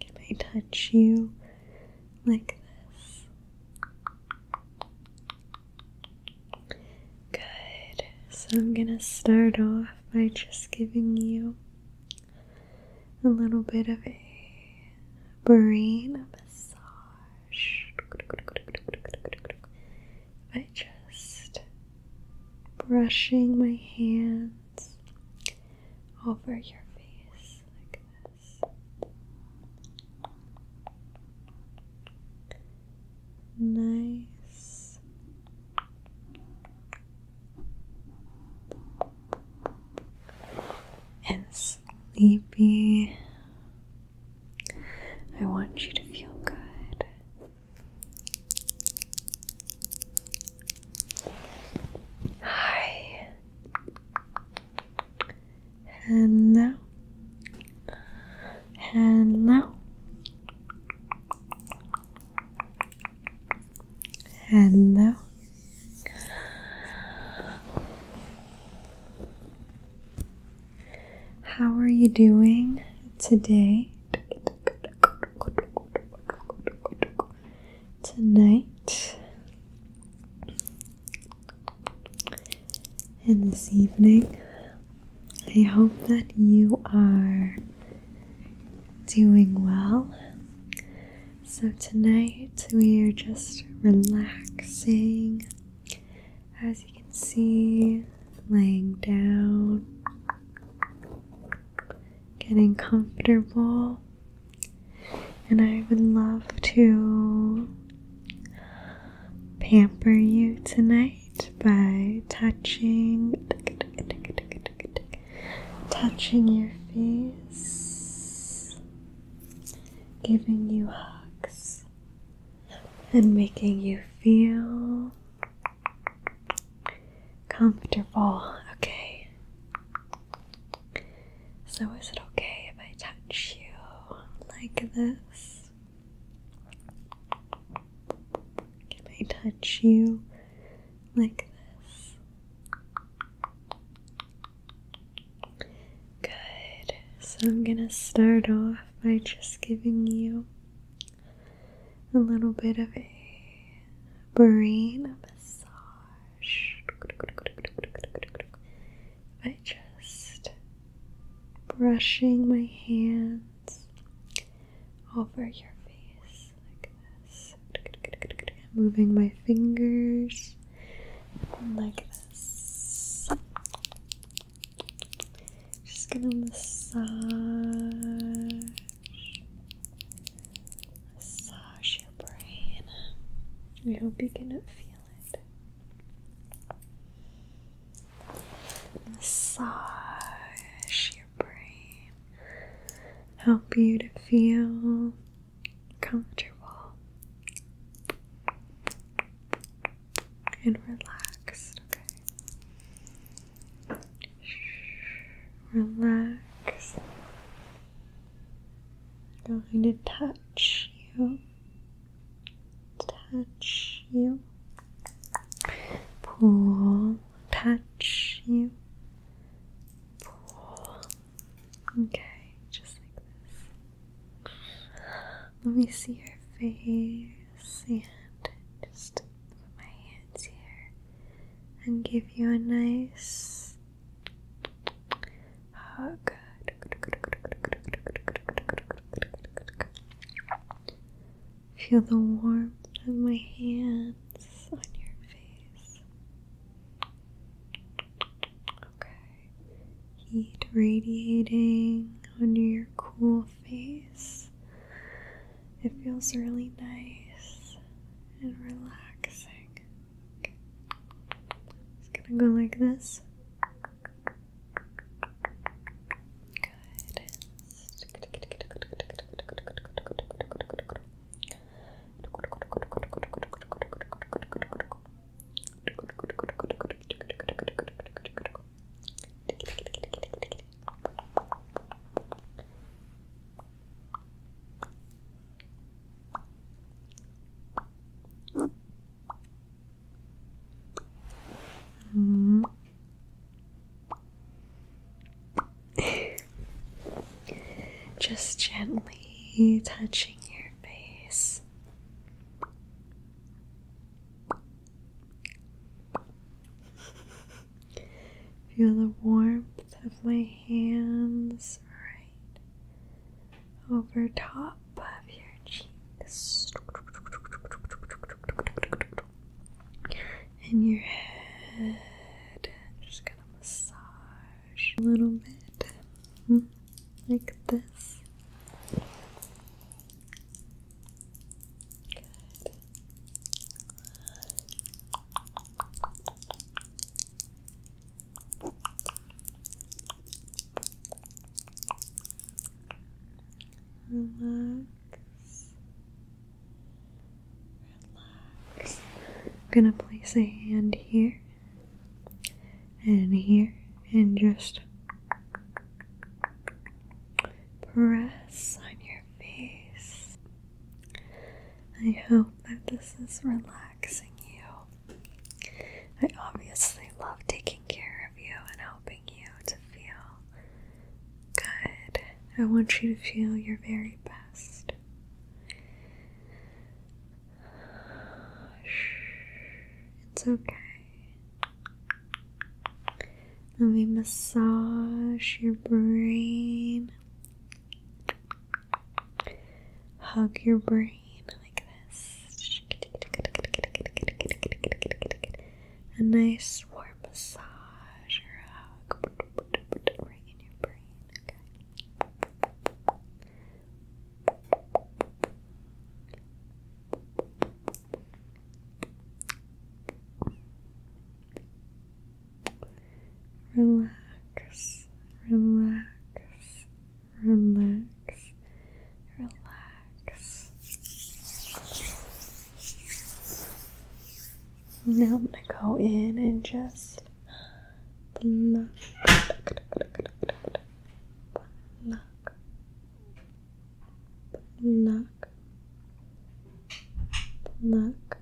Can I touch you like this? Good. So I'm going to start off by just giving you a little bit of a brain massage. By just brushing my hand over your face like this. Nice. And sleepy. I want you to feel good. Hi. Hello. Hello. Hello. How are you doing today? tonight and this evening. I hope that you are doing well. So, tonight we are just relaxing. As you can see, laying down getting comfortable. And I would love to pamper you tonight by touching touching your face, giving you hugs and making you feel Comfortable, okay. So, is it okay if I touch you like this? Can I touch you like this? Good. So, I'm gonna start off by just giving you a little bit of a brain massage. By just brushing my hands over your face like this, moving my fingers like this. Just gonna massage Massage your brain. I hope you can feel it. Massage your brain. Help you to feel comfortable and relaxed, okay? Relax. I'm going to touch you. Touch you. Pull. Touch you. Pull. Okay, just like this. Let me see your face and just Put my hands here and give you a nice hug. Feel the warmth of my hands on your face. Okay. Heat radiating under your cool face. It feels really nice and relaxing. It's gonna go like this. Good. Mm. Just gently touching your face. Feel the warmth of my hands right over top of your cheeks and your head. just gonna massage a little bit mm, like this. Relax. Relax. I'm gonna place a hand here and here and just press on your face. I hope that this is relaxing you. I obviously love taking care of you and helping you to feel good. I want you to feel your very best. It's okay. Let me massage your brain. Hug your brain like this. A nice warm massage or hug right your brain. Relax, relax, relax, relax. Now I'm gonna go in and just pluck, pluck, pluck, Pluck.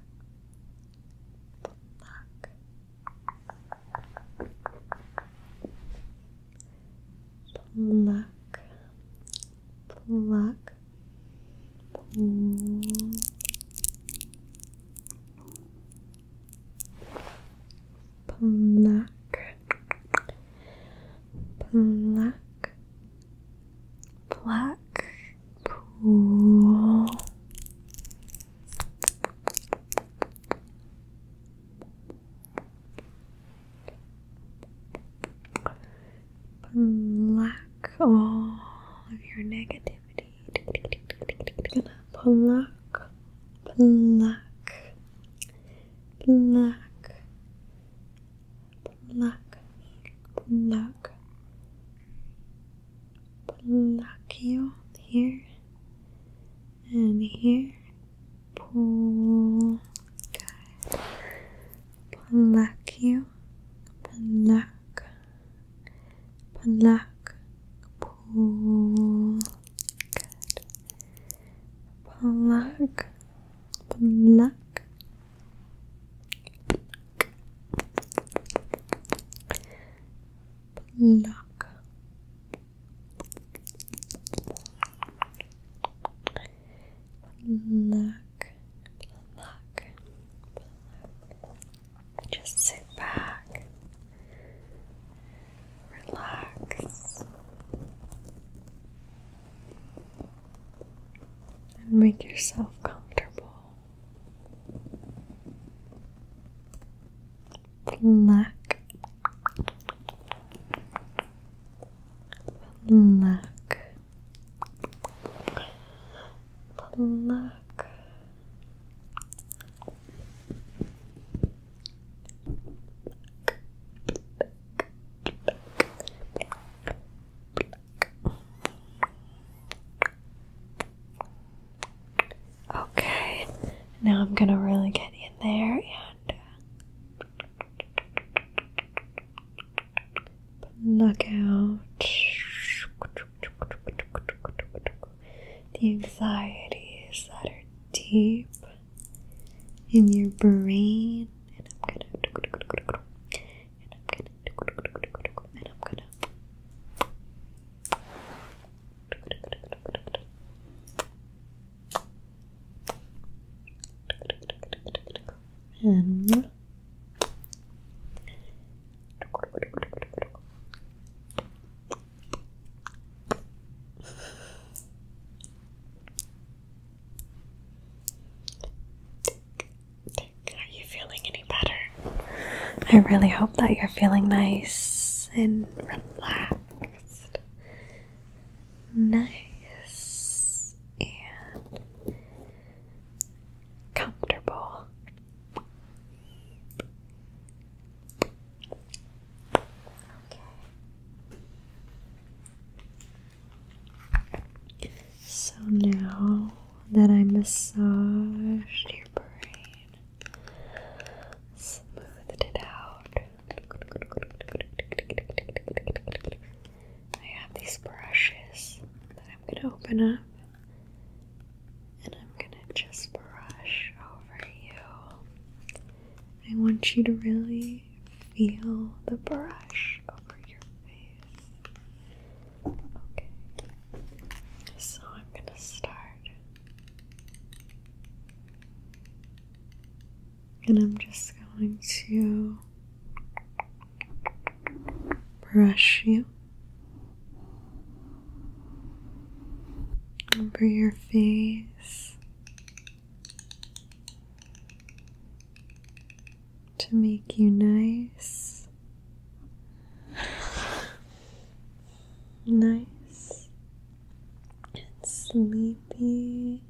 Pluck. Pluck. Pluck. Pluck. Pull. Pluck. Pluck. Pluck. Cool. Black all of your negativity. Gonna pluck, pluck, pluck, pluck, pluck, pluck you here and here. Pull, good. Pluck you, pluck, pluck, pull, good. Pluck, pluck. Pluck, Lock. Pluck. Pluck. Just sit back. Relax and make yourself comfortable. Black, black, black. Okay, now I'm gonna really get in there and knock uh, out the anxieties that are deep in your brain, and I'm gonna are you feeling any better? I really hope that you're feeling nice and relaxed. Nice and comfortable. Okay. So now that I massaged your brain, smoothed it out. I have these brushes that I'm going to open up and I'm going to just brush over you. I want you to really feel the brush over your face. Okay. So I'm going to start. And I'm just going to brush you over your face to make you nice, nice and sleepy.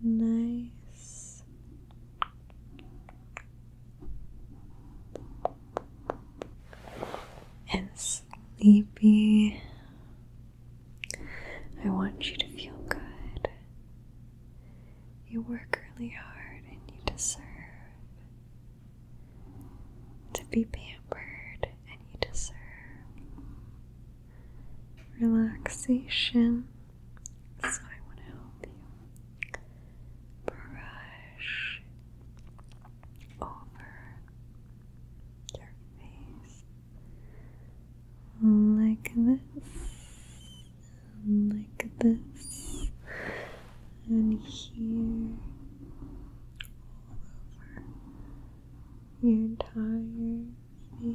Nice and sleepy. I want you to feel good. You work really hard and you deserve to be pampered and you deserve relaxation. So I want to help you brush over your face like this, like this, and here all over your entire face,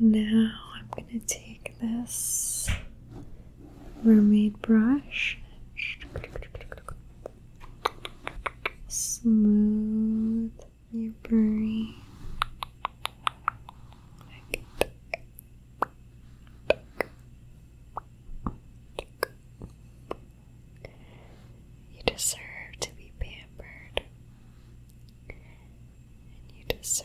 Now I'm going to take this mermaid brush, smooth your brain you deserve to be pampered, and you deserve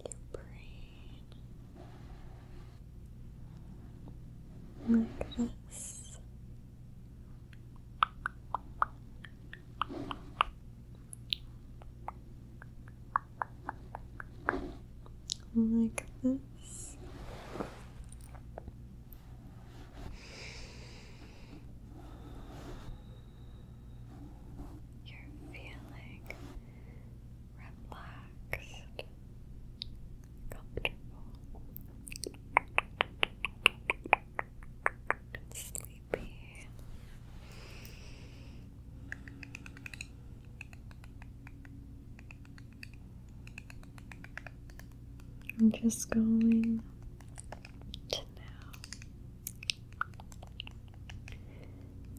your brain like this. Like this, you're feeling relaxed, comfortable, sleepy. I'm just going to now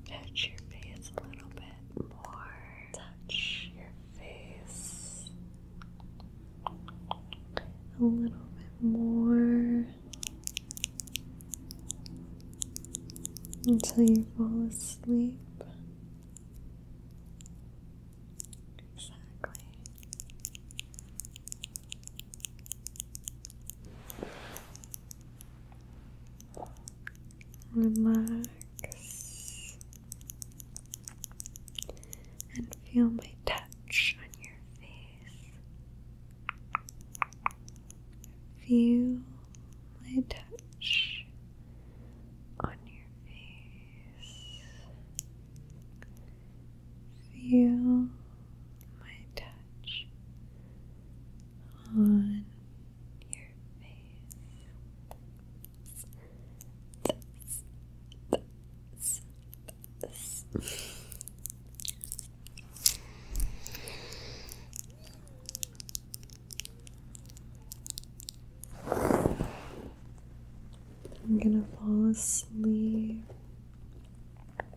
Touch your face a little bit more. Touch your face a little bit more until you fall asleep. Exactly. Relax and feel my touch on your face. Feel my touch on your face. Feel my touch on your face. I'm gonna fall asleep.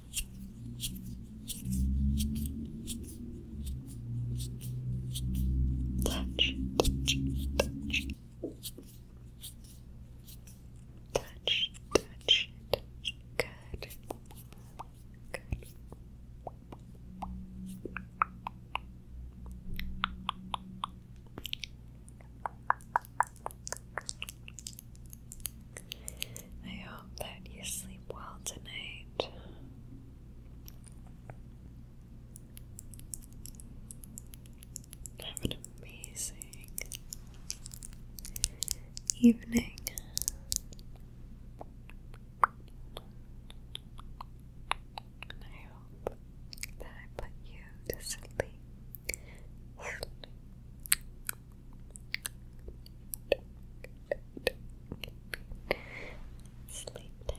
Touch, touch, touch. Touch, touch, touch. Good. Good. I hope that you sleep well tonight. Have an amazing evening. I hope that I put you to Sleep. Sleep tight.